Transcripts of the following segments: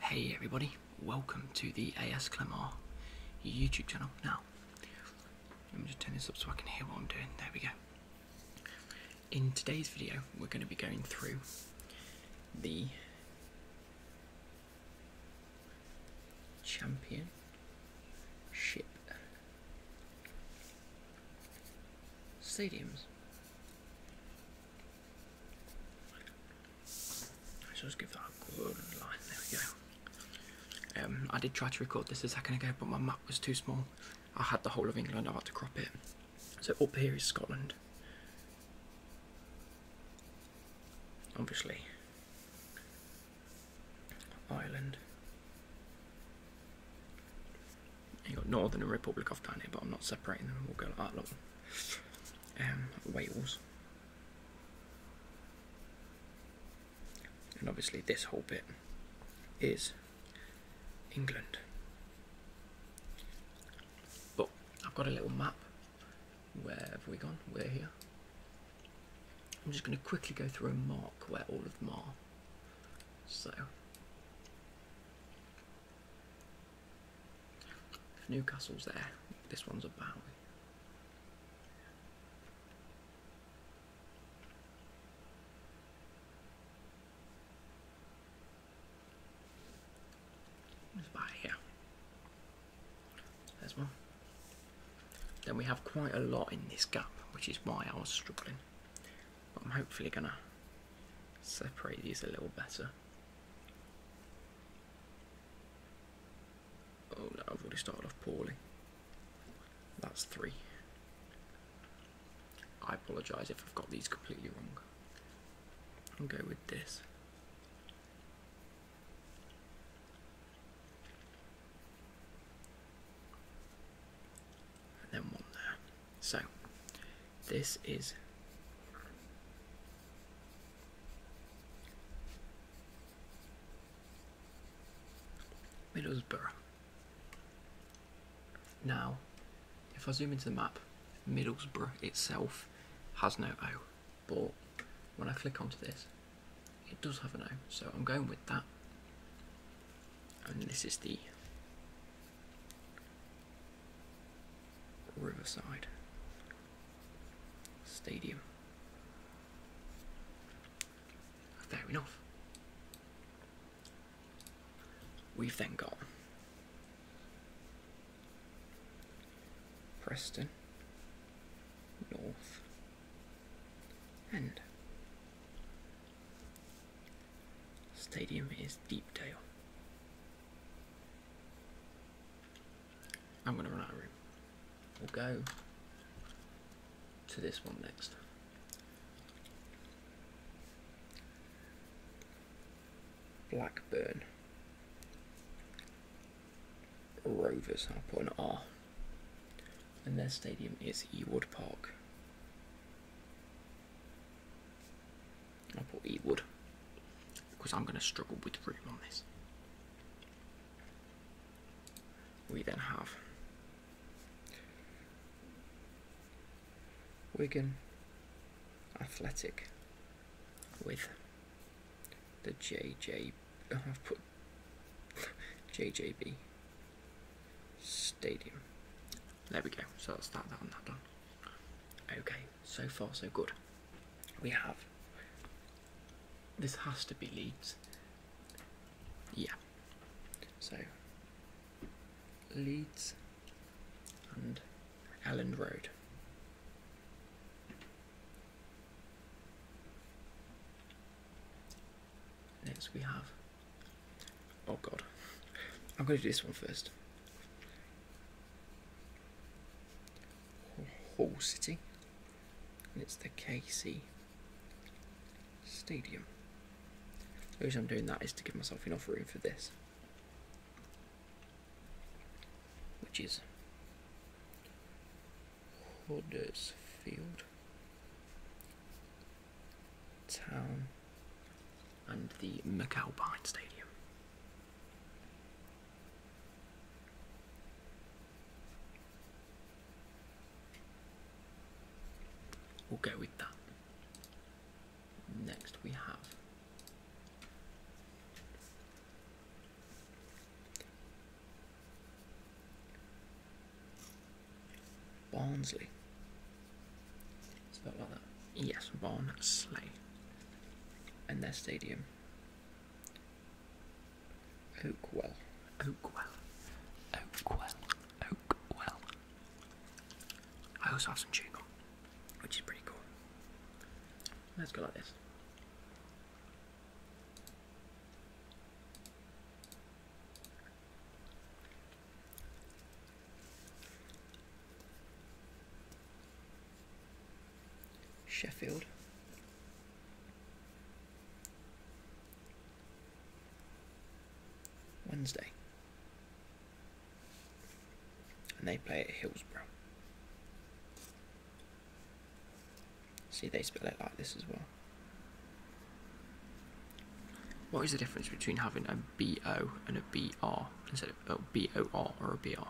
Hey everybody, welcome to the AS Clemar YouTube channel. Now, let me just turn this up so I can hear what I'm doing. There we go. In today's video, we're going to be going through the championship stadiums Let's just give that a good line. There we go. Um, I did try to record this a second ago, but my map was too small. I had the whole of England. I had to crop it. So up here is Scotland. Obviously, Ireland you got Northern and Republic of down here, but I'm not separating them. We'll go like that. Look, um, Wales, and obviously this whole bit is England. But I've got a little map. Where have we gone? We're here. I'm just going to quickly go through and mark where all of them are. So. Newcastle's there, this one's a Bowie. let here. There's one. Then we have quite a lot in this gap, which is why I was struggling. But I'm hopefully gonna separate these a little better. Oh no, I've already started off poorly. That's three. I apologise if I've got these completely wrong. I'll go with this. And then one there. So, this is Middlesbrough. Now, if I zoom into the map, Middlesbrough itself has no O, but when I click onto this, it does have an O, so I'm going with that. And this is the Riverside Stadium. Fair enough. We've then got Preston, North, and Stadium is Deepdale. I'm gonna run out of room. We'll go to this one next. Blackburn. Rovers, I'll put an R. And their stadium is Ewood Park. I'll put Eatwood because I'm going to struggle with room on this. We then have Wigan Athletic with the JJ. Oh, I've put JJB Stadium there we go. So that's start that, and that done. Okay, so far so good. We have. This has to be Leeds. Yeah. So, Leeds and Elland Road. Next we have. Oh god. I'm going to do this one first. Hall City, and it's the KC Stadium. The reason I'm doing that is to give myself enough room for this, which is Huddersfield Town and the Macau Stadium. We'll go with that. Next, we have Barnsley. Spelled like that. Yes, Von Slay. And their stadium. Oakwell. Oakwell. Oakwell. Oakwell. I also have some chewing gum, which is pretty cool. Let's go like this. Sheffield. Wednesday. And they play at Hillsborough. See, they spell it like this as well. What is the difference between having a BO and a BR instead of oh, BOR or a BR.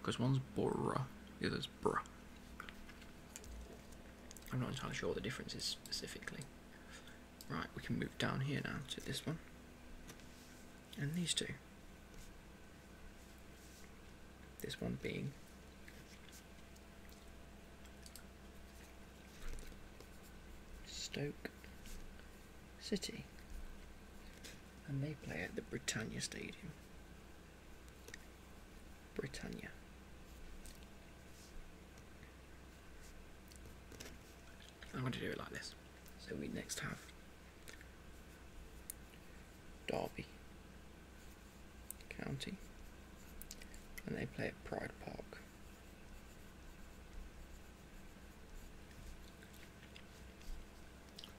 Because one's BORA, the other's BRA. I'm not entirely sure what the difference is specifically. Right, we can move down here now to this one. And these two. This one being Stoke City. And they play at the Britannia Stadium. Britannia. I'm going to do it like this. So we next have Derby County, and they play at Pride Park.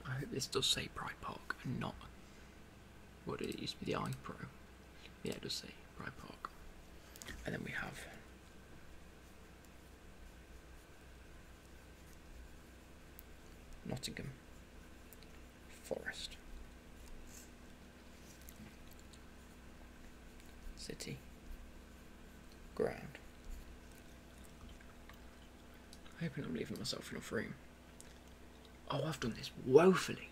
I hope this does say Pride Park and not what it used to be the iPro. Yeah, it does say Pride Park. And then we have Nottingham Forest City Ground Hoping I'm leaving myself enough room. Oh, I've done this woefully.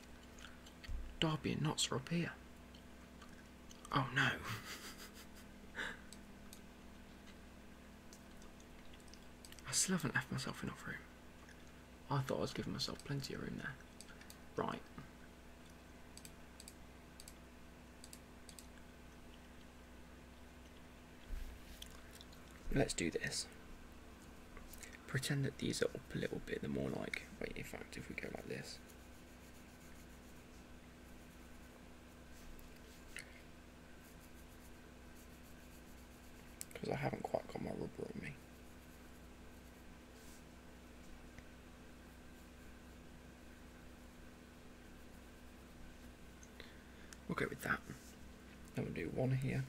Darby and Nots are up here. Oh no. I still haven't left myself enough room. I thought I was giving myself plenty of room there. Right. Let's do this. Pretend that these are up a little bit, The more like, wait, in fact, if we go like this. Because I haven't quite got my rubber on me. We'll go with that. Then we'll do one here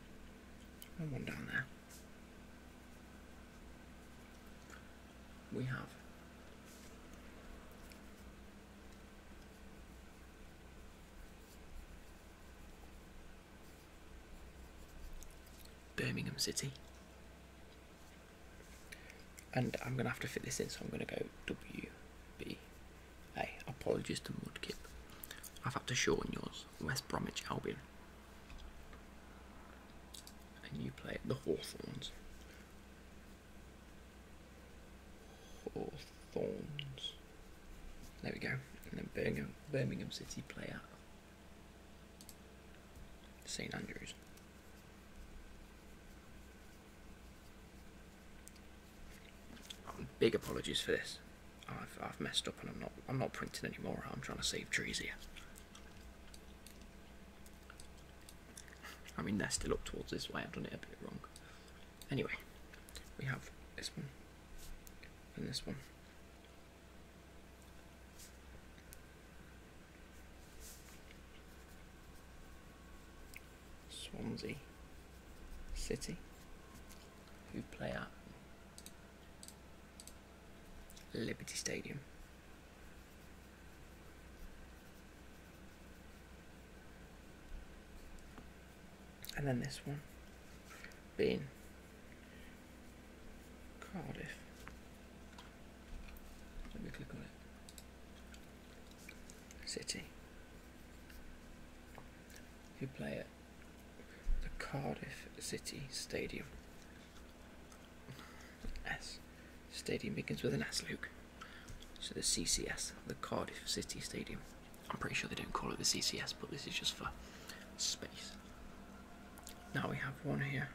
and one down there. We have Birmingham City. And I'm going to have to fit this in, so I'm going to go WB Hey, apologies to Mudkip. I've had to shorten yours. West Bromwich Albion. And you play the Hawthorns. Hawthorns. There we go. And then Birmingham, City play at St Andrews. Big apologies for this. I've, messed up and I'm not I'm not printing anymore. I'm trying to save trees here. I mean they're still up towards this way. I've done it a bit wrong. Anyway, we have this one and this one. Swansea City, who play at Liberty Stadium. And then this one being Cardiff. Let me click on it. City. You play at the Cardiff City Stadium. S. Stadium begins with an S, Luke. So the CCS, the Cardiff City Stadium. I'm pretty sure they don't call it the CCS, but this is just for space. Now we have one here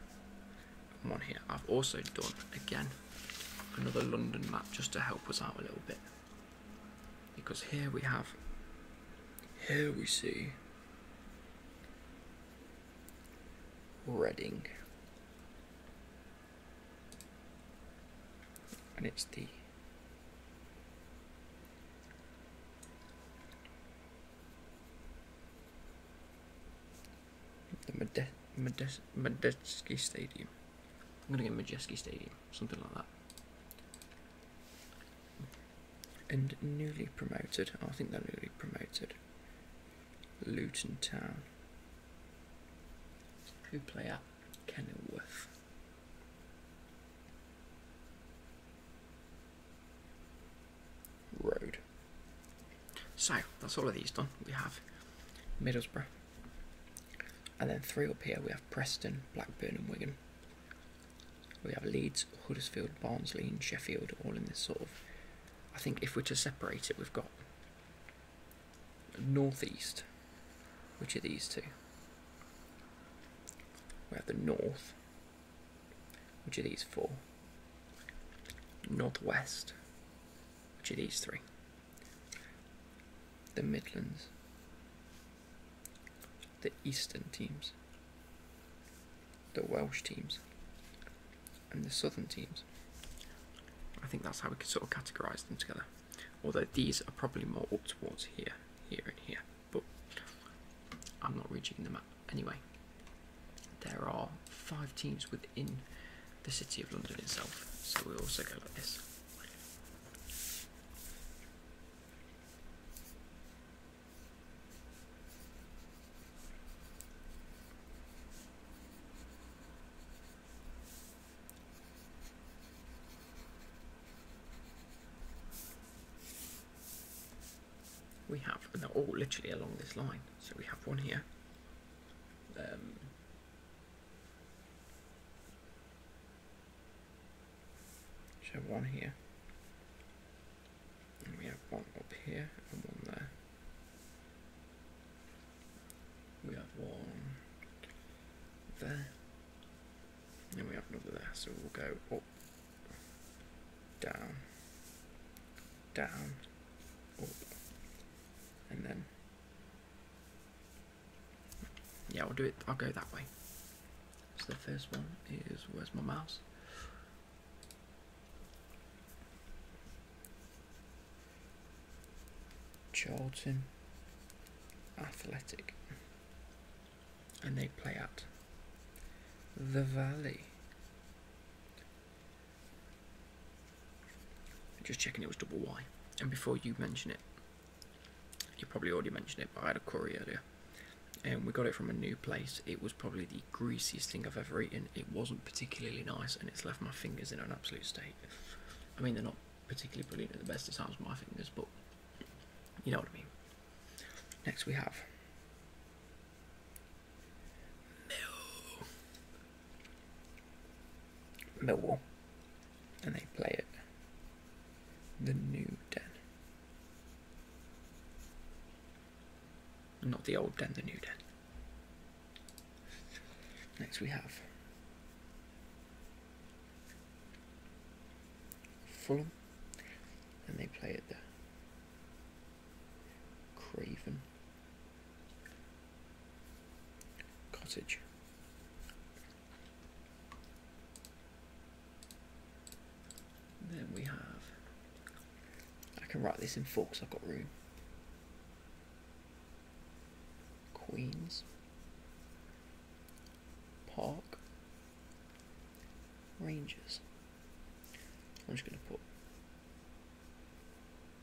one here. I've also done, again, another London map just to help us out a little bit. Because here we have, here we see Reading. And it's the the Medes Medes Medeski Stadium. I'm going to get Majeski Stadium, something like that. And newly promoted, I think they're newly promoted, Luton Town, who play at Kenilworth. Road. So, that's all of these done. We have Middlesbrough, and then three up here we have Preston, Blackburn, and Wigan. We have Leeds, Huddersfield, Barnsley, and Sheffield, all in this sort of. I think if we're to separate it, we've got northeast, which are these two. We have the north, which are these four. Northwest, which are these three the Midlands, the Eastern teams, the Welsh teams, and the Southern teams. I think that's how we could sort of categorise them together. Although these are probably more towards here, here, and here. But I'm not reaching the map. Anyway, there are five teams within the City of London itself. So we also go like this we have, and they're all literally along this line. So we have one here, um, we have one here. And we have one up here and one there. We have one there. And we have another there. So we'll go up, down, down, up, and then yeah, I'll do it. I'll go that way. So the first one is where's my mouse? Charlton Athletic, and they play at the Valley. Just checking it was double Y, and before you mention it, you probably already mentioned it, but I had a curry earlier. And um, we got it from a new place. It was probably the greasiest thing I've ever eaten. It wasn't particularly nice, and it's left my fingers in an absolute state. I mean, they're not particularly brilliant at the best of times, my fingers, but you know what I mean. Next, we have. Millwall and they play it. The new den. Not the old den, the new den. Next we have Fulham, and they play it the Craven Cottage. Then we have. I can write this in forks. I've got room. Queens. Park. Rangers. I'm just going to put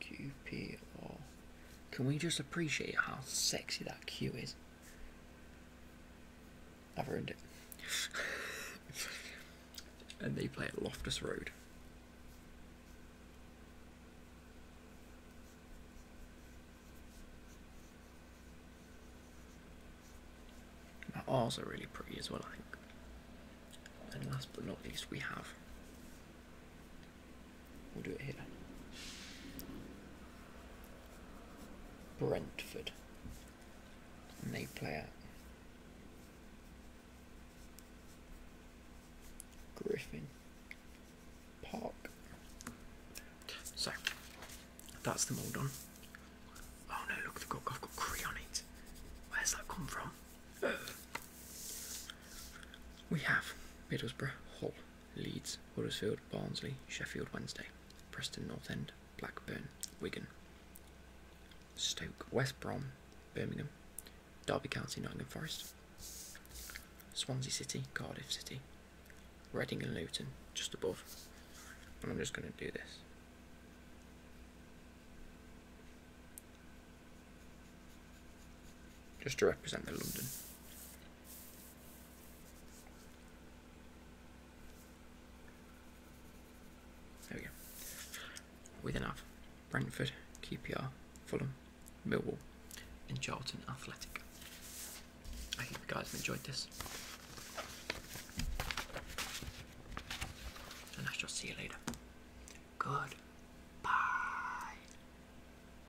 QPR. Can we just appreciate how sexy that queue is? I've ruined it. and they play at Loftus Road. My arms are really pretty as well, I think. And last but not least, we have We'll do it here. Brentford. And they play at Griffin Park. So, that's them all done. Oh no, look, I've got Cree on it. Where's that come from? we have Middlesbrough Hull. Leeds, Huddersfield, Barnsley, Sheffield Wednesday, Preston North End, Blackburn, Wigan, Stoke, West Brom, Birmingham, Derby County, Nottingham Forest, Swansea City, Cardiff City, Reading and Luton, just above. I'm just going to do this. Just to represent the London. There we go. With enough, Brentford, QPR, Fulham, Millwall, and Charlton Athletic. I hope you guys have enjoyed this. And I shall see you later. Good. Bye.